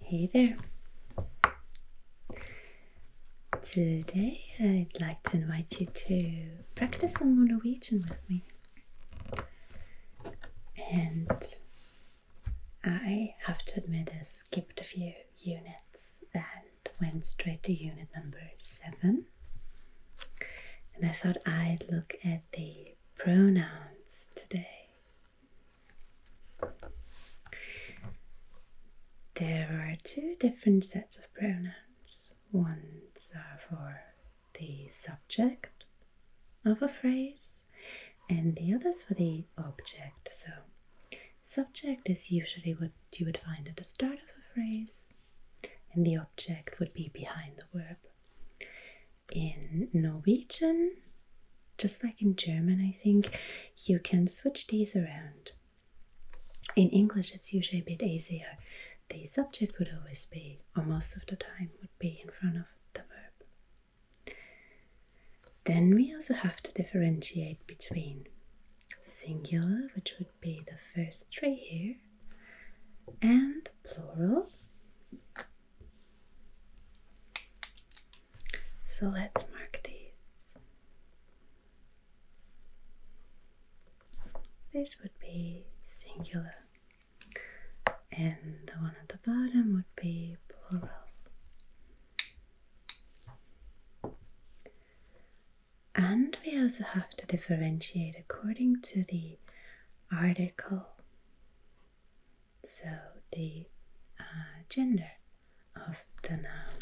Hey there! Today I'd like to invite you to practice some Norwegian with me. And I have to admit, I skipped a few units and went straight to unit number seven. And I thought I'd look at the pronouns today. There are two different sets of pronouns. Ones are for the subject of a phrase, and the others for the object. So, subject is usually what you would find at the start of a phrase, and the object would be behind the verb. In Norwegian, just like in German, I think you can switch these around. In English, it's usually a bit easier. The subject would always be, or most of the time, would be in front of the verb. Then we also have to differentiate between singular, which would be the first tree here, and plural, so let's mark these. This would be singular, and the one at the bottom would be plural. And we also have to differentiate according to the article so the uh, gender of the noun.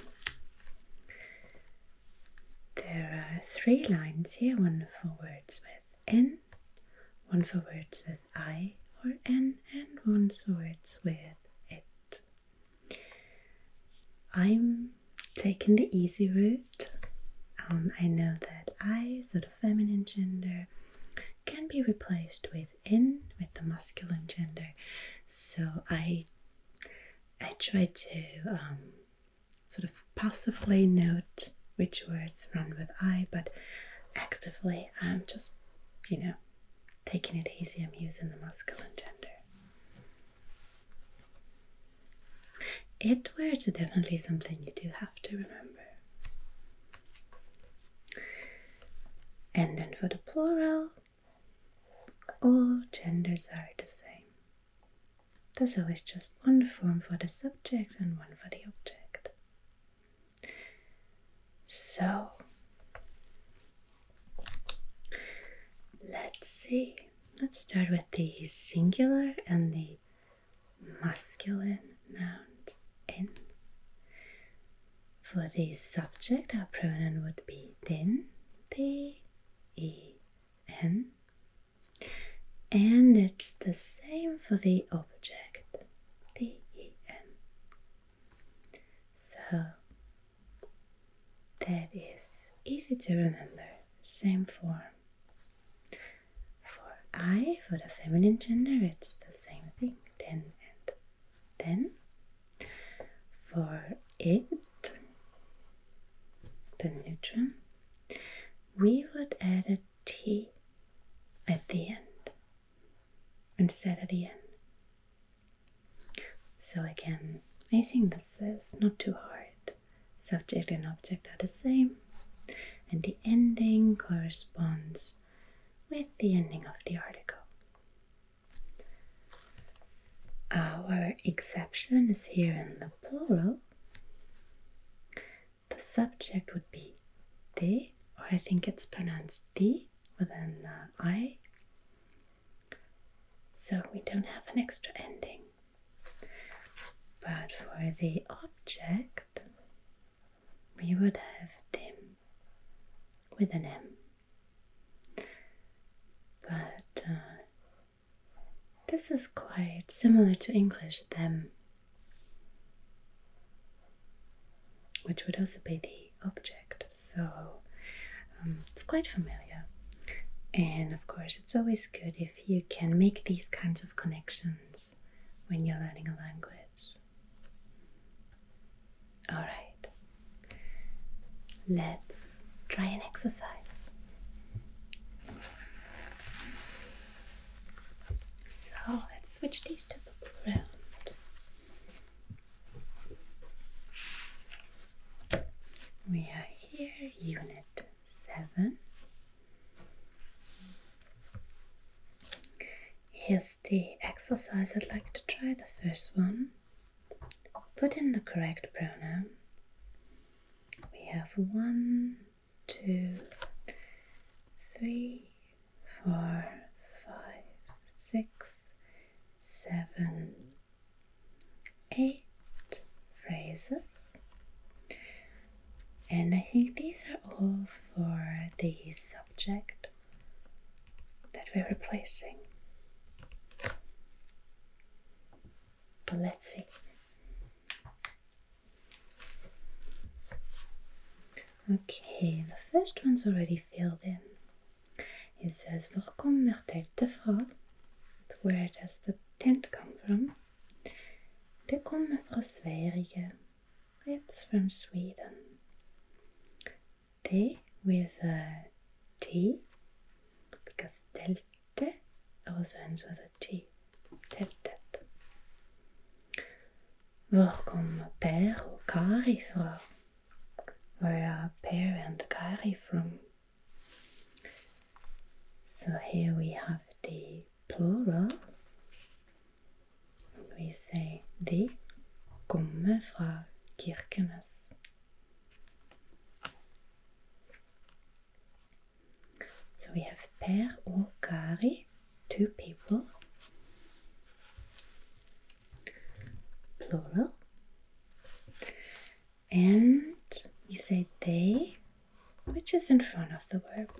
There are three lines here, one for words with n, one for words with I or N, and one for words with it. I'm taking the easy route. Um, I know that I sort of feminine gender can be replaced with in with the masculine gender. So I I try to um, sort of passively note which words run with I, but actively I'm just, you know, taking it easy. I'm using the masculine gender. Edward's are definitely something you do have to remember. And then for the plural, all genders are the same. There's always just one form for the subject and one for the object. So, let's see. Let's start with the singular and the masculine nouns in. For the subject, our pronoun would be den, d e n, and it's the same for the object, d e n. So that is easy to remember. Same form. For I, for the feminine gender, it's the same thing, then and then. For it, the neutron, we would add a T at the end instead of the end. So again, I think this is not too hard subject and object are the same, and the ending corresponds with the ending of the article. Our exception is here in the plural. The subject would be the, or I think it's pronounced the with an uh, I. So we don't have an extra ending. But for the object, we would have them with an M. But uh, this is quite similar to English them, which would also be the object. So um, it's quite familiar. And of course, it's always good if you can make these kinds of connections when you're learning a language. Alright, let's try an exercise. So let's switch these two books around. We are here, Unit seven. Here's the exercise I'd like to try. The first one put in the correct pronoun. We have one, two, three, four, five, six, seven, eight phrases. And I think these are all for the subject that we're replacing. But let's see. Okay, the first one's already filled in. It says, Waar komt Mertel te Where does the tent come from? Det kommer från Sverige. It's from Sweden. T with a T because delta. also ends with a T. Teltet. Hvor kommer Per og Kari fra? Where are Per and Carrie from? So here we have the plural. We say the kommer fra Kirkenes. So we have Per or Kari, two people. Plural and we say they, which is in front of the verb.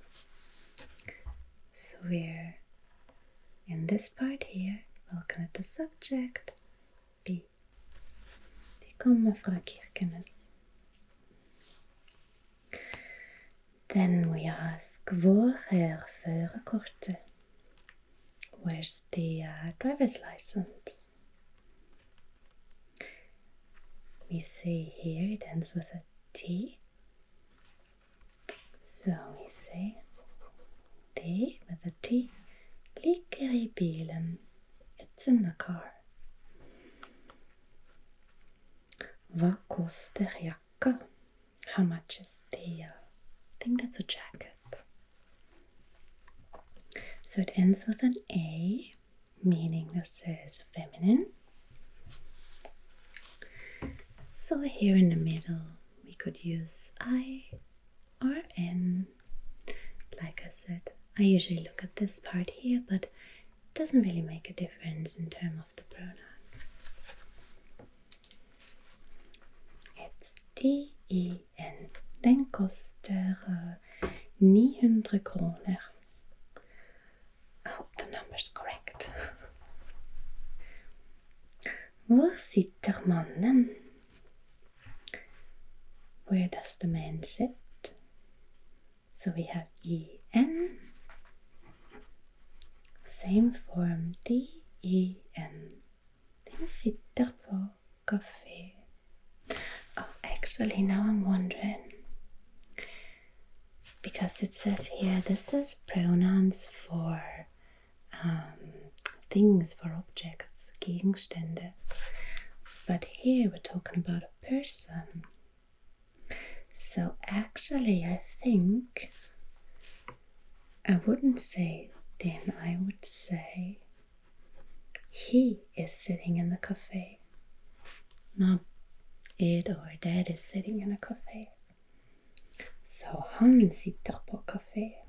So we're in this part here, we'll connect the subject, the. Die komen fra Kirkenes. Then we ask hvor er førerkortet? Where's the uh, driver's license? We see here it ends with a T. So we say T with a T. Ligger It's in the car. Vad kostar jacka? How much is the... I think that's a jacket. So it ends with an A meaning this is feminine. So here in the middle, we could use I or N. Like I said, I usually look at this part here, but it doesn't really make a difference in term of the pronoun. It's D-E-N. Den koster 900 kroner hope oh, the number's correct. Hvor sitter mannen? Where does the man sit? So we have en. Same form d-e-n. Den sitter på kafé. Oh, actually, now I'm wondering because it says here this is pronouns for um, things, for objects, Gegenstände. But here we're talking about a person. So actually, I think I wouldn't say then, I would say he is sitting in the cafe. Not it or that is sitting in a cafe. So han sitter på cafe.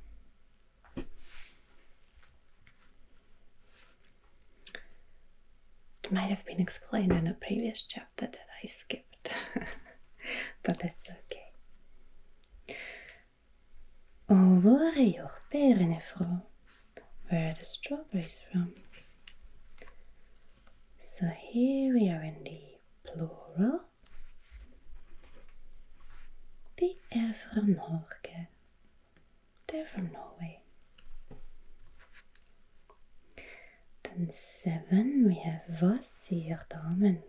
It might have been explained in a previous chapter that I skipped, but that's okay. Å være hjort er en where are the strawberries from. So here we are in the plural. De er from Norge. They're from Norway. Then seven we have was sier damen.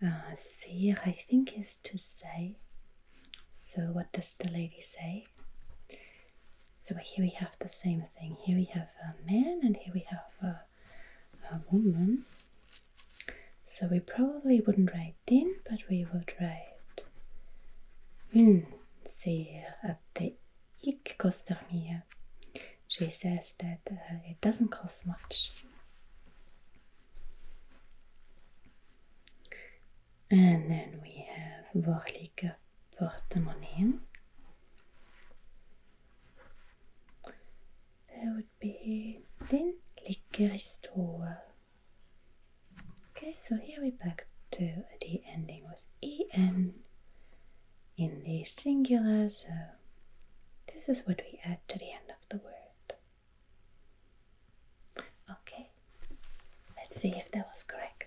Uh, I think is to say so, what does the lady say? So, here we have the same thing. Here we have a man and here we have a, woman. So, we probably wouldn't write den, but we would write une sehr atte ik kostar mir. She says that uh, it doesn't cost much. And then we have Wochlige Portemonnaien. That would be Den Likeristoa. Okay, so here we back to the ending with en in the singular, so this is what we add to the end of the word. Okay, let's see if that was correct.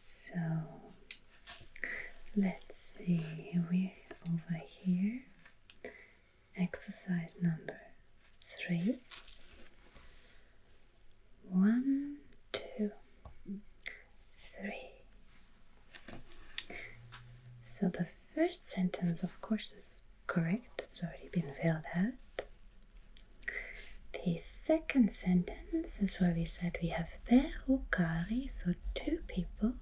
So let's see, we over here Exercise number three. One, two, three. So the first sentence, of course, is correct, it's already been filled out. The second sentence is where we said we have perukari, so two people,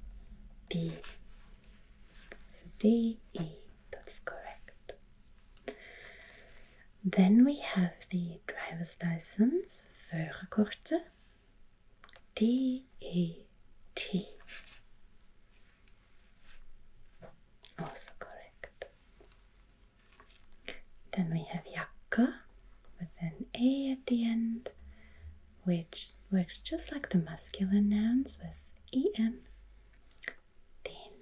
be so D E, that's correct. Then we have the driver's license, Førerkortet. D E T. Also correct. Then we have Jakka with an A at the end which works just like the masculine nouns with en. Then,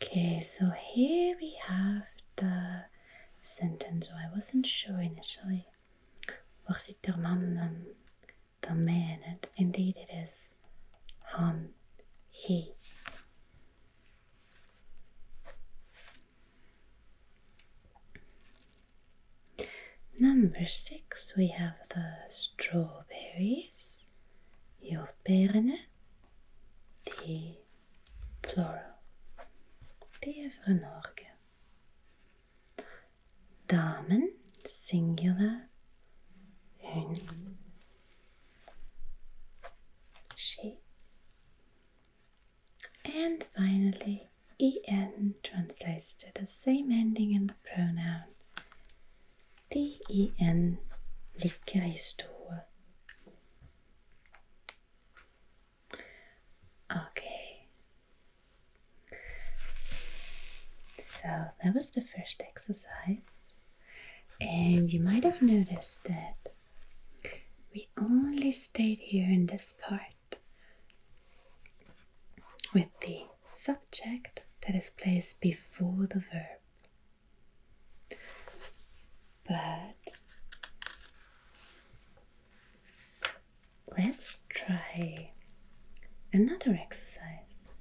okay, so here we have the sentence I wasn't sure initially. Was it the man? the man? And indeed, it is han, he. Number six, we have the strawberries, Jordbeerne, the plural, de er fra Norge. singular, hun. She. And finally, en translates to the same ending in the pronoun. Den en i Okay. So that was the first exercise. And you might have noticed that we only stayed here in this part with the subject that is placed before the verb. But let's try another exercise.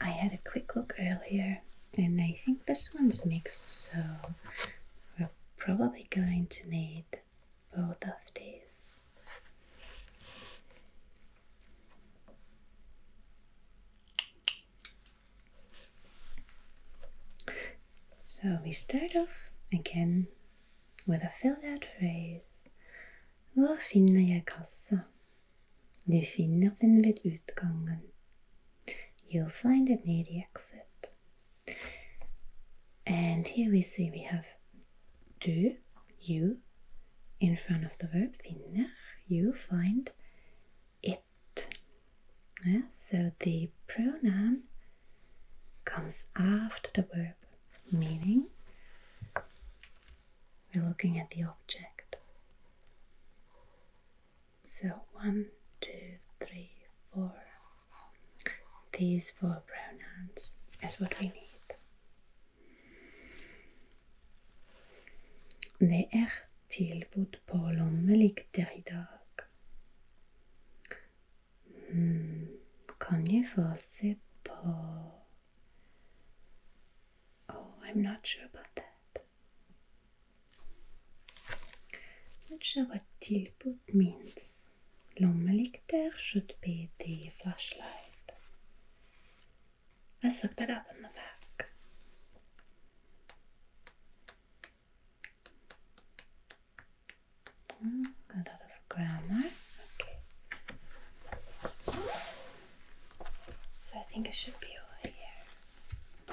I had a quick look earlier and I think this one's mixed, so we're probably going to need both of these. So we start off again with a filled out phrase. Hvor finner jeg kassa? Du finner den ved utgangen. You'll find it near the exit. And here we see we have du, you, in front of the verb finner, you find it. Yeah, so the pronoun comes after the verb, meaning we're looking at the object. So one, two, three, four. These four pronouns is what we need. Det er tilbud på lommelykt i dag. Mm. Kan jeg få se Oh, I'm not sure about that. Not sure what tilput means. Lommelykter should be the flashlight. Let's look that up in the back. Hmm, a lot of grammar. Okay. So I think it should be over here.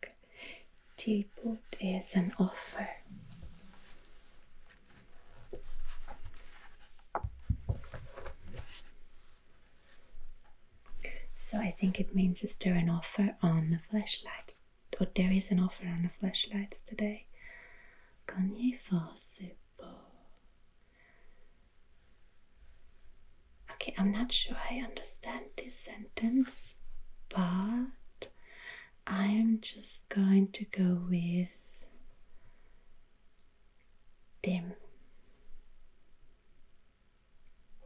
back. Tilbud is an offer. So I think it means is there an offer on the flashlights? Or there is an offer on the flashlights today? Okay, I'm not sure I understand this sentence, but I'm just going to go with dim.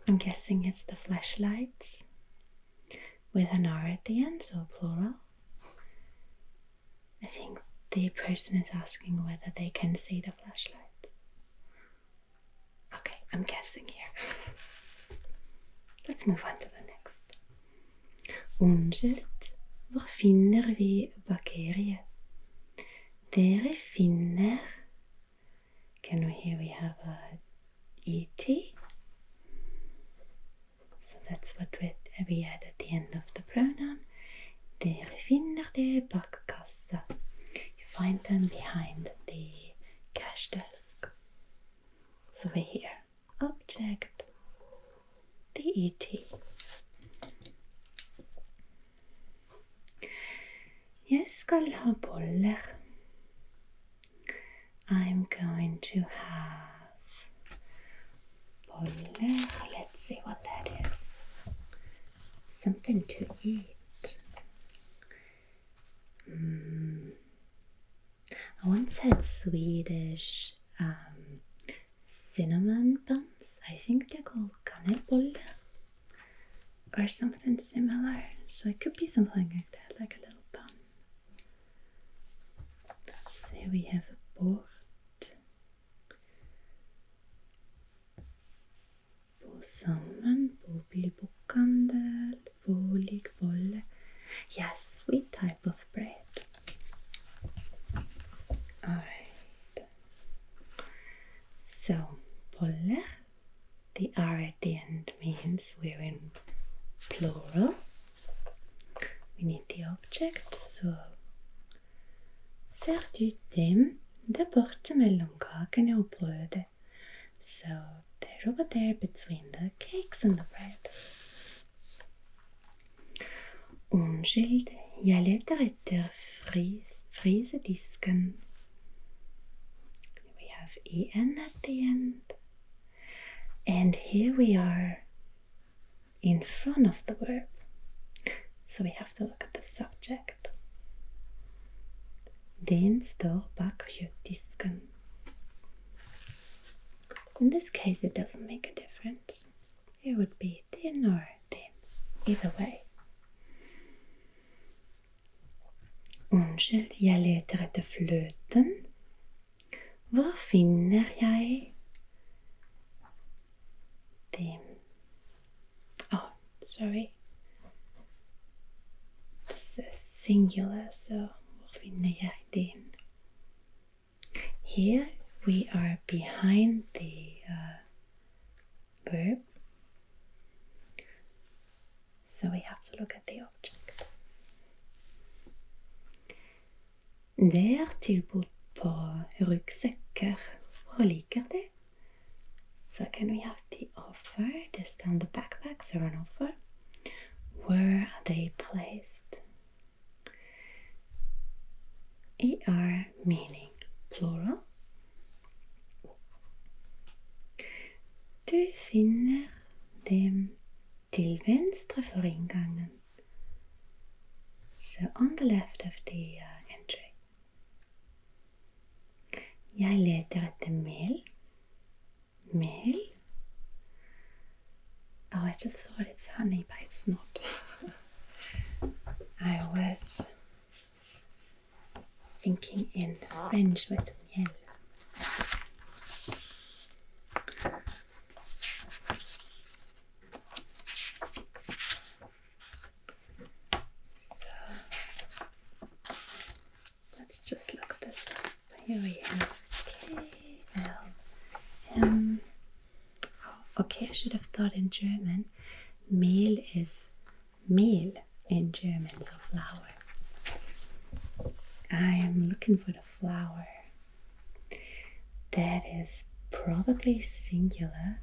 I'm guessing it's the flashlights with an R at the end, so plural. I think the person is asking whether they can see the flashlights. Okay, I'm guessing here. Let's move on to the next. Undskyldt, hvor finner vi bakterier? Dere finner Can we hear we have a ET. So that's what we add at the end of the pronoun. Dere finner det bakkassa. You find them behind the cash desk. So we're here. Object DET. Jeg skal ha boller. I'm going to have boller. Let's see what that is. Something to eat. Mm. I once had Swedish um, cinnamon buns. I think they're called kanelbolle or something similar. So it could be something like that, like a little bun. So here we have a port. På salmon, på bilbokhandel. Voligvolle. Yes, sweet type of bread. Alright. So, volle, the R at the end means we're in plural. We need the object, so Ser du dem det borte mellom kakene og brødet, so they're over there between the cakes and the bread. Unnskyld, jeg leter etter fris, frysedisken. We have en at the end. And here we are in front of the verb. So we have to look at the subject. Den står bak kjøttdisken. In this case, it doesn't make a difference. It would be thin or thin, either way. Unnskyld, jeg leter etter fløten. Hvor finner jeg dem? Oh, sorry. It's a singular, so here we are behind the uh, so we have to look at the object. Det er tilbud på ryggsekker fra Liker det. So again we have the Offer just discount the backpacks are on offer. Where are they placed? ER meaning plural. Du finner dem till venstre för ingången. So on the left of the uh, entry. Jeg leter the meal. Mel? Oh, I just thought it's honey, but it's not. I was thinking in French with me let's just look at this up. Here we have KLM. Oh, okay, I should have thought in German. Mehl is Mehl in German, so flour. I am looking for the flower. That is probably singular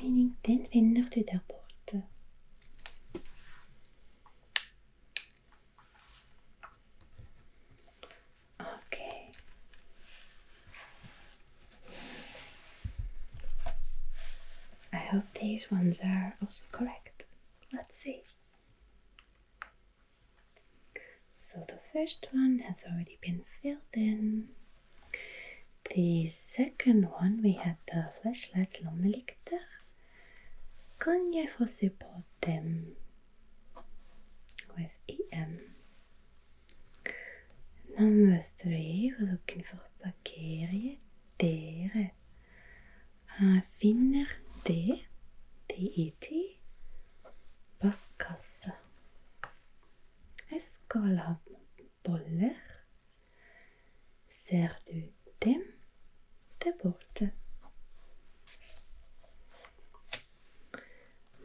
meaning den vänder du där bort. Okej. Okay. I hope these ones are also correct. Let's see. So the first one has already been filled in. The second one we had the flashlights lång lykta. Kan jag få se dem? With EM. Number three, we're looking for bakterier. Dere. Jeg finner det, DET, bak kassa. Jeg skal boller ser du dem der borte.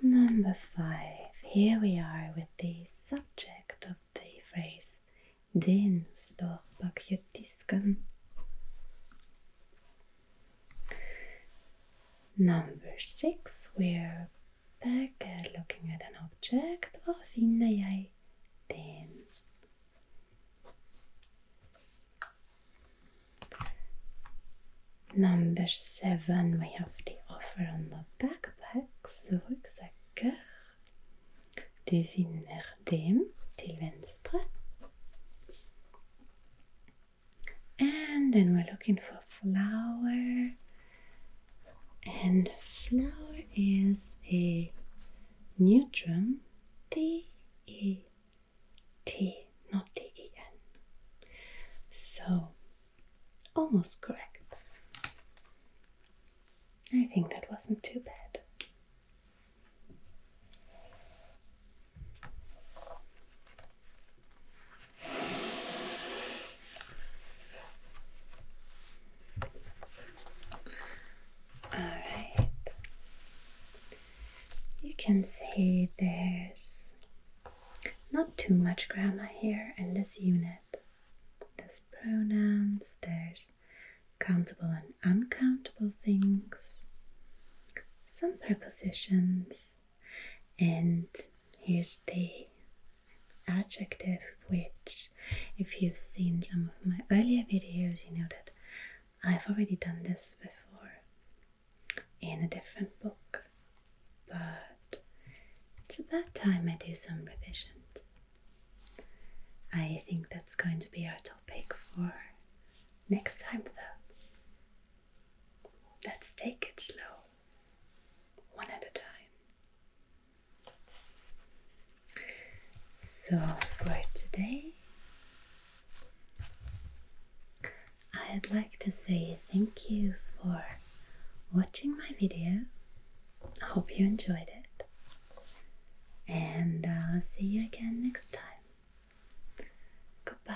Number five. Here we are with the subject of the phrase Den står bak disken. Number six, we're back and looking at an object och finner jag den? Number seven, we have the offer on the backpacks, ryggsäcker. Du finner dem till venstre. And then we're looking for flower and flour is a neutron T E T, not T E N. So almost correct. I think that wasn't too bad. All right. You can say there's not too much grammar here in this unit. There's pronouns, there's countable and uncountable things, some prepositions, and is the adjective which, if you've seen some of my earlier videos, you know that I've already done this before in a different book, but it's about time I do some revisions. I think that's going to be our topic for next time, though. Let's take it slow, one at a time. So for today, I'd like to say thank you for watching my video. I hope you enjoyed it. And I'll uh, see you again next time. Goodbye.